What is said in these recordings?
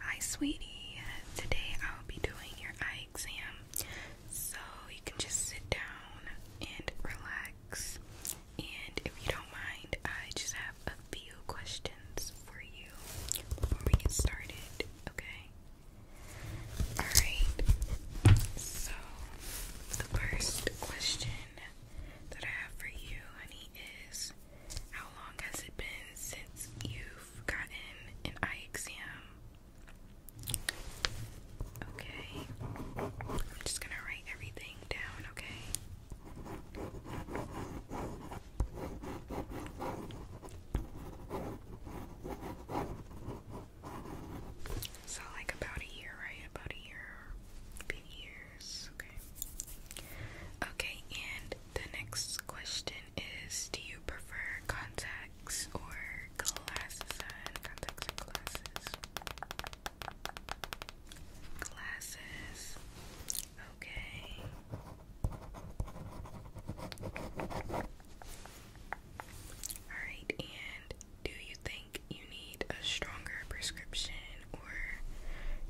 Hi, sweetie. Today I'll be doing your eye exam. So you can just sit down and relax. And if you don't mind, I just have a few questions for you before we get started, okay? Alright, so the first question that I have for you, honey, is how long has it been since you've gotten an eye exam? Okay. I'm just gonna write everything down, okay? So, like about a year, right? About a year, big year. Okay. Okay, and the next question is do you prefer contacts or glasses on? Contacts glasses? Okay. Alright, and do you think you a stronger prescription, or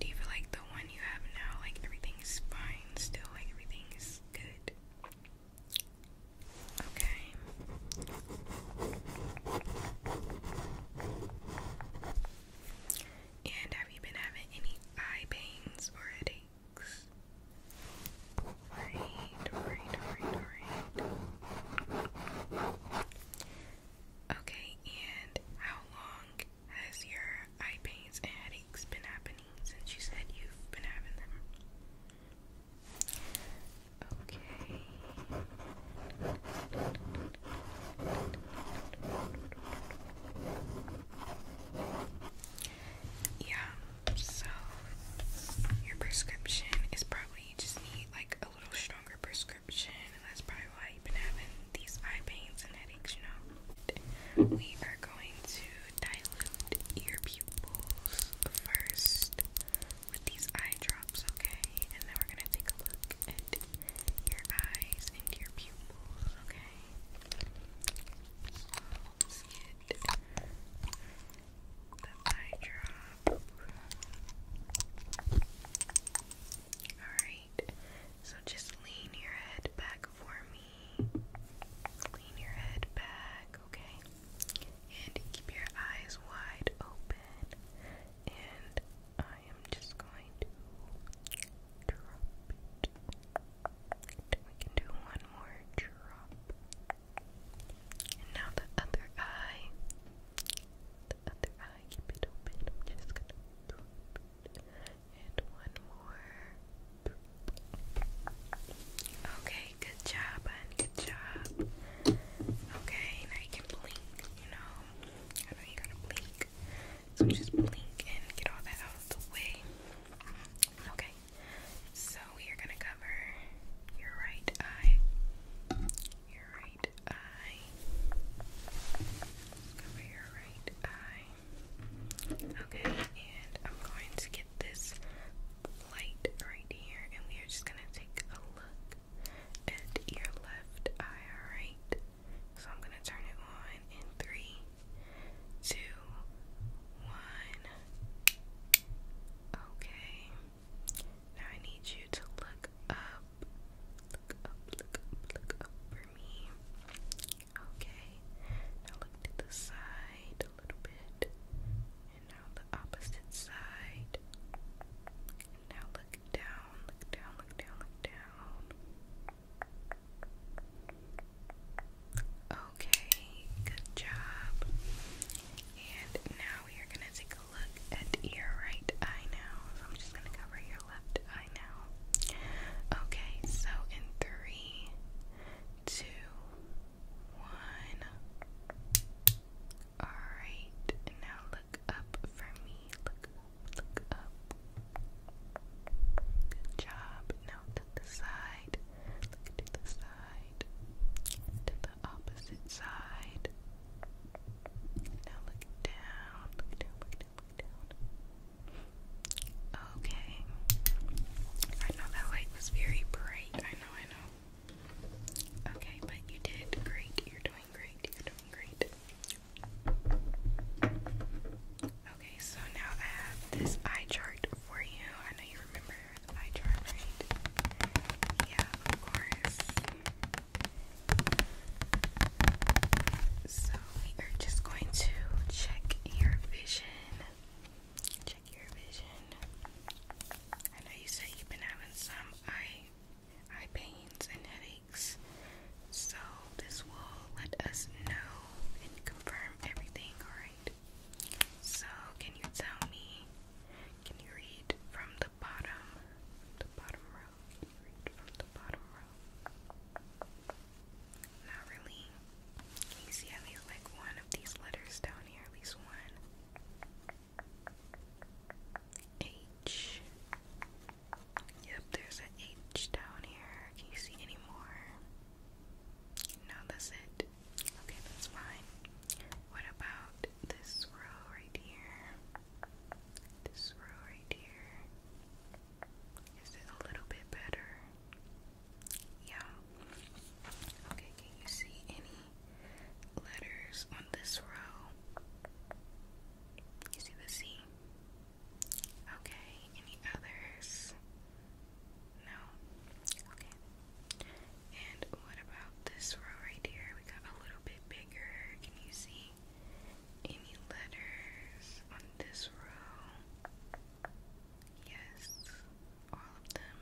do you feel like the one you have now, like everything is fine still, like everything is good? Okay. And have you been having any eye pains or headaches? Alright, alright, alright, alright. Okay, and how long has your eye pains and headaches been happening since you said you've been having them? Okay. Yeah, so your prescription is probably just need like a little stronger prescription and that's probably why you've been having these eye pains and headaches, you know. We are going to dilute your pupils first with these eye drops, okay? And then we're gonna take a look at your eyes and your pupils, okay? let's get the eye drop. Alright, so just lean your head back for me. Lean your head back, okay? And keep your eyes wide open. And I am just going to drop it. We can do one more drop. now the other eye. The other eye, keep it open. I'm just gonna and one more. Okay, good job, hon. Good job. Okay, now you can blink, you know. I know you gotta blink. So just blink and get all that out of the way. Okay, so we are gonna cover your right eye. Your right eye. let your right eye. Okay, and I'm going to get this light right here, and we are just gonna take a look at your left eye, alright? So I'm gonna turn it on in three, two, one. Okay. Now I need you to look up. Look up, look up, look up Okay, now look to the side a little bit, and now the opposite side. now look down, look down, look down, look down. Okay, good job. And now we are gonna take a look at your right eye now. I'm just gonna cover your your left eye now. Okay, so in three, two, one. Alright, now look up for me. Look look up. Good job. Now to the side. Look to the side. To the opposite side. Now look down. Look down, look Okay. I know that light was very bright. I know, I know. Okay, but you did great. You're doing great. You're doing great. Okay, so now I have this eye chart for you. I know you remember eye chart, right? Yeah, of course. So we are just going to check your vision. Check your vision. I know you said you've been having some eye eye pains and headaches. So this will let us know and confirm everything, alright? So can you tell me can you read from the bottom? The bottom row. read from the bottom row? Not really. Can you see at least like one of these letters down here? At least one. H. Yep, there's an H down here. Can you see any more? No, that's it. Okay, that's fine. What about this row right here? This row right here. Is it a little bit better? Yeah. Okay, can you see any letters on this row? You see the C? Okay, any others? No? Okay. And what about this row right here? We got a little bit bigger. Can you see any letters on this row? Yes, all of them.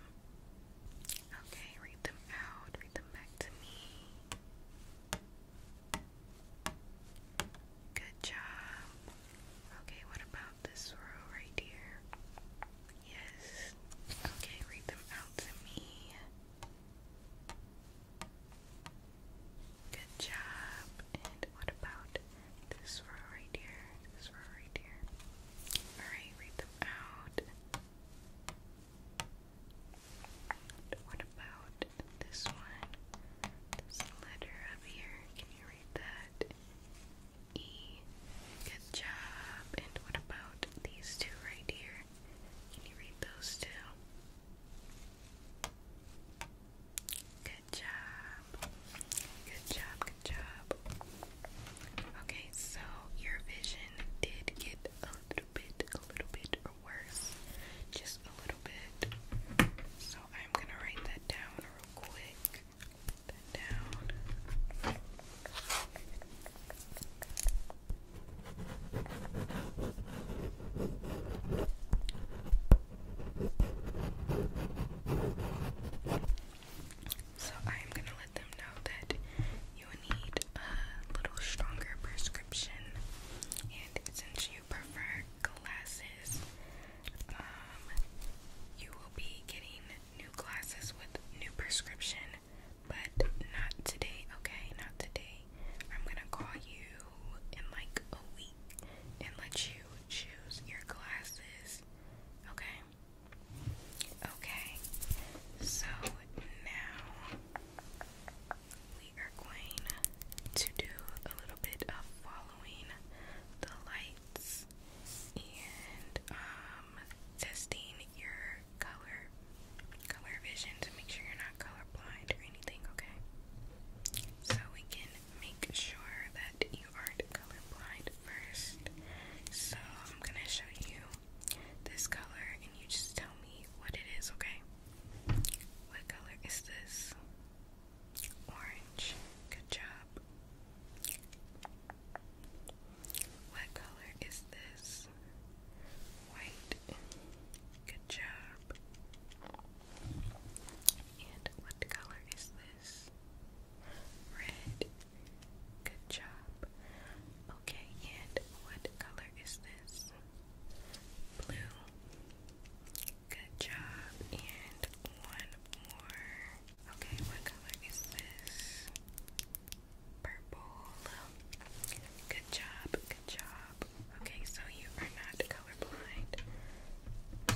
Okay, read them out, read them back to me. Good job. Okay, what about this row right here? Yes. Okay, read them out to me. Good job. And what about this row right here? This row right here. Alright, read them out. what about this one? This letter up here. Can you read that? E. Good job. And what about these two right here? Can you read those two? Good job. Good job, good job. Okay, so your vision did get a little bit, a little bit worse. Just a little bit. So I'm gonna write that down real quick. That down. So I am gonna let them know that you need a little stronger prescription, and since you prefer glasses, um, you will be getting new glasses with new prescription, but not today. Okay, not today. I'm gonna call you in like a week and let you choose your glasses, Okay? Okay. So now we are going to do a little bit of following the lights and um, testing your color color vision to make sure you're not colorblind or anything, okay? So we can make sure that you aren't colorblind first. So I'm gonna show you this color and you just tell me what it is, okay? What color is this? Orange. Good job. What color is this? White. Good job. And what color is this? Red. Good job. Okay, and what color is this? Blue. Good job. And one more. Okay, what color is this? Purple. Good job. Good job. Okay, so you are not colorblind.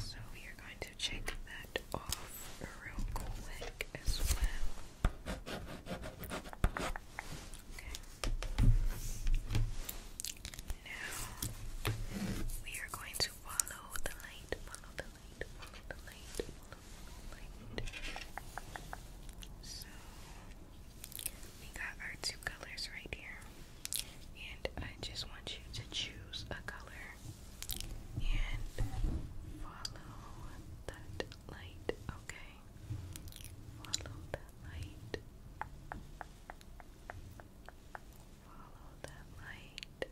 So we are going to check that off real quick as well. Now we are going to follow the light, follow the light, follow the light, follow the light. So we got our two colors right here and I just want you to choose a color and follow that light, okay? Follow that light. Follow that light.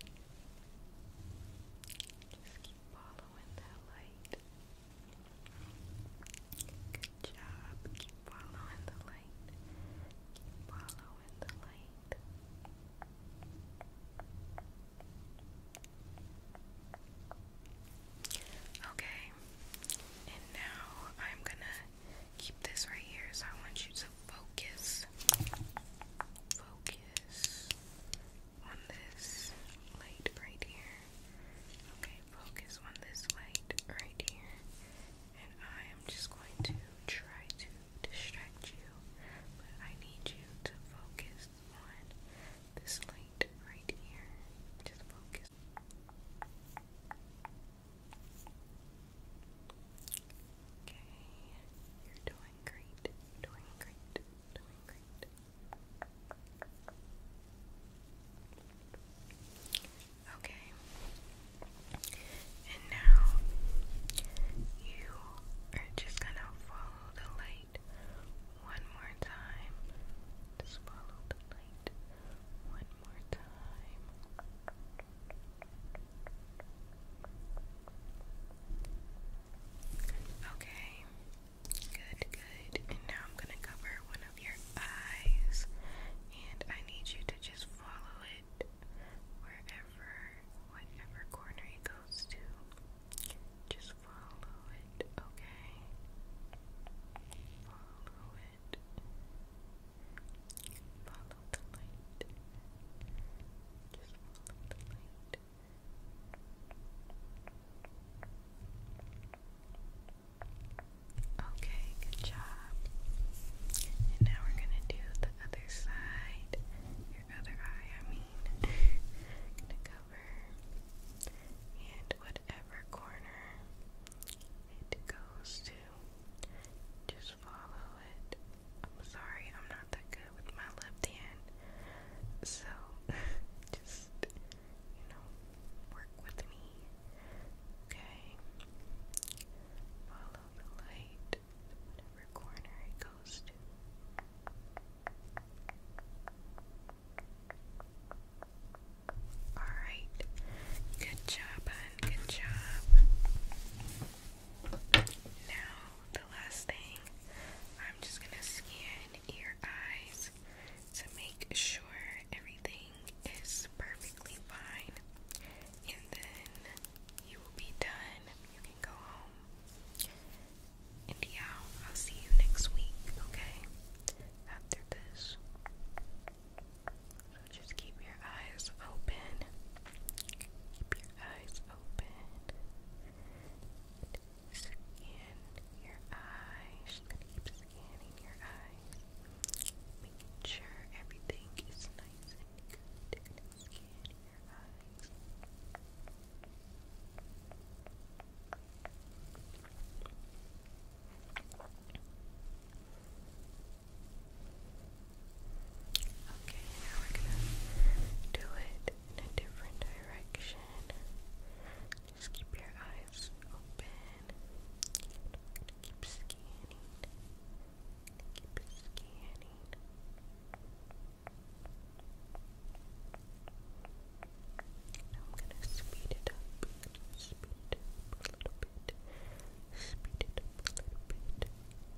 Just keep following that light. Good job. Keep following the light. Okay, and now I'm gonna keep this right here, so I want you to focus, focus on this light right here. Okay, focus on this light right here, and I am just going to try to distract you, but I need you to focus on this light right here. Just focus. Okay, you're doing great, doing great, doing great. Okay. And now you are just going to follow the light one more time. Just follow the light one more time. Okay. Good, good. And now I'm going to cover one of your eyes. And I need you to just follow wherever, whatever corner it goes to. Just follow it, okay? Follow it. Follow the light. Just follow the light. Okay, good job. And now we're gonna do the other side. Your other eye, I mean. gonna cover and whatever corner it goes to. Just follow it. I'm sorry, I'm not that good with my left hand. So just you know, work with me. Okay. Follow the light whatever corner it goes to. Alright, good job, hon, good job. Now, the last thing, I'm just gonna scan your eyes to make sure everything is perfectly fine, and then you will be done. You can go home. And yeah, I'll see you next week, okay? After this. just keep your eyes open. Keep your eyes open. Scan your eyes. scanning your eyes. Making sure everything is nice Good. Scan Okay, now we're gonna do it in a different direction. Just keep your eyes open. keep scanning. Keep scanning. Now I'm gonna speed it up. Speed it up a little bit. Speed it up a little bit.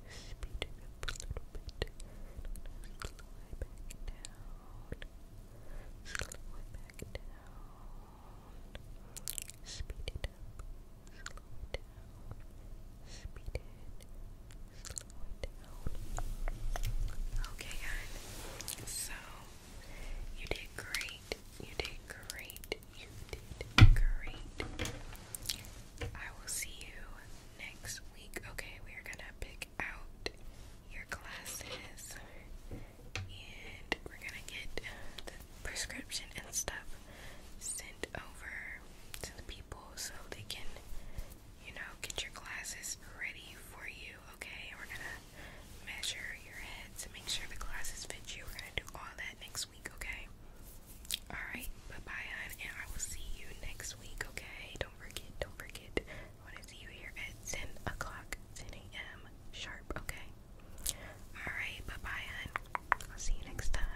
Speed it up a little bit. I'm back down. Slow back down. Speed it Okay, guys, so you did great, you did great, you did great. I will see you next week. Okay, we are gonna pick out your classes and we're gonna get the prescription and stuff sent over to the people so they can, you know, get your glasses ready for you, okay? We're gonna measure your head to make sure the glasses fit you. We're gonna do all that next week, okay? Alright, bye bye, hon, and I will see you next week, okay? Don't forget, don't forget. I wanna see you here at 10 o'clock, 10 a.m. sharp, okay? Alright, bye bye, hon. I'll see you next time.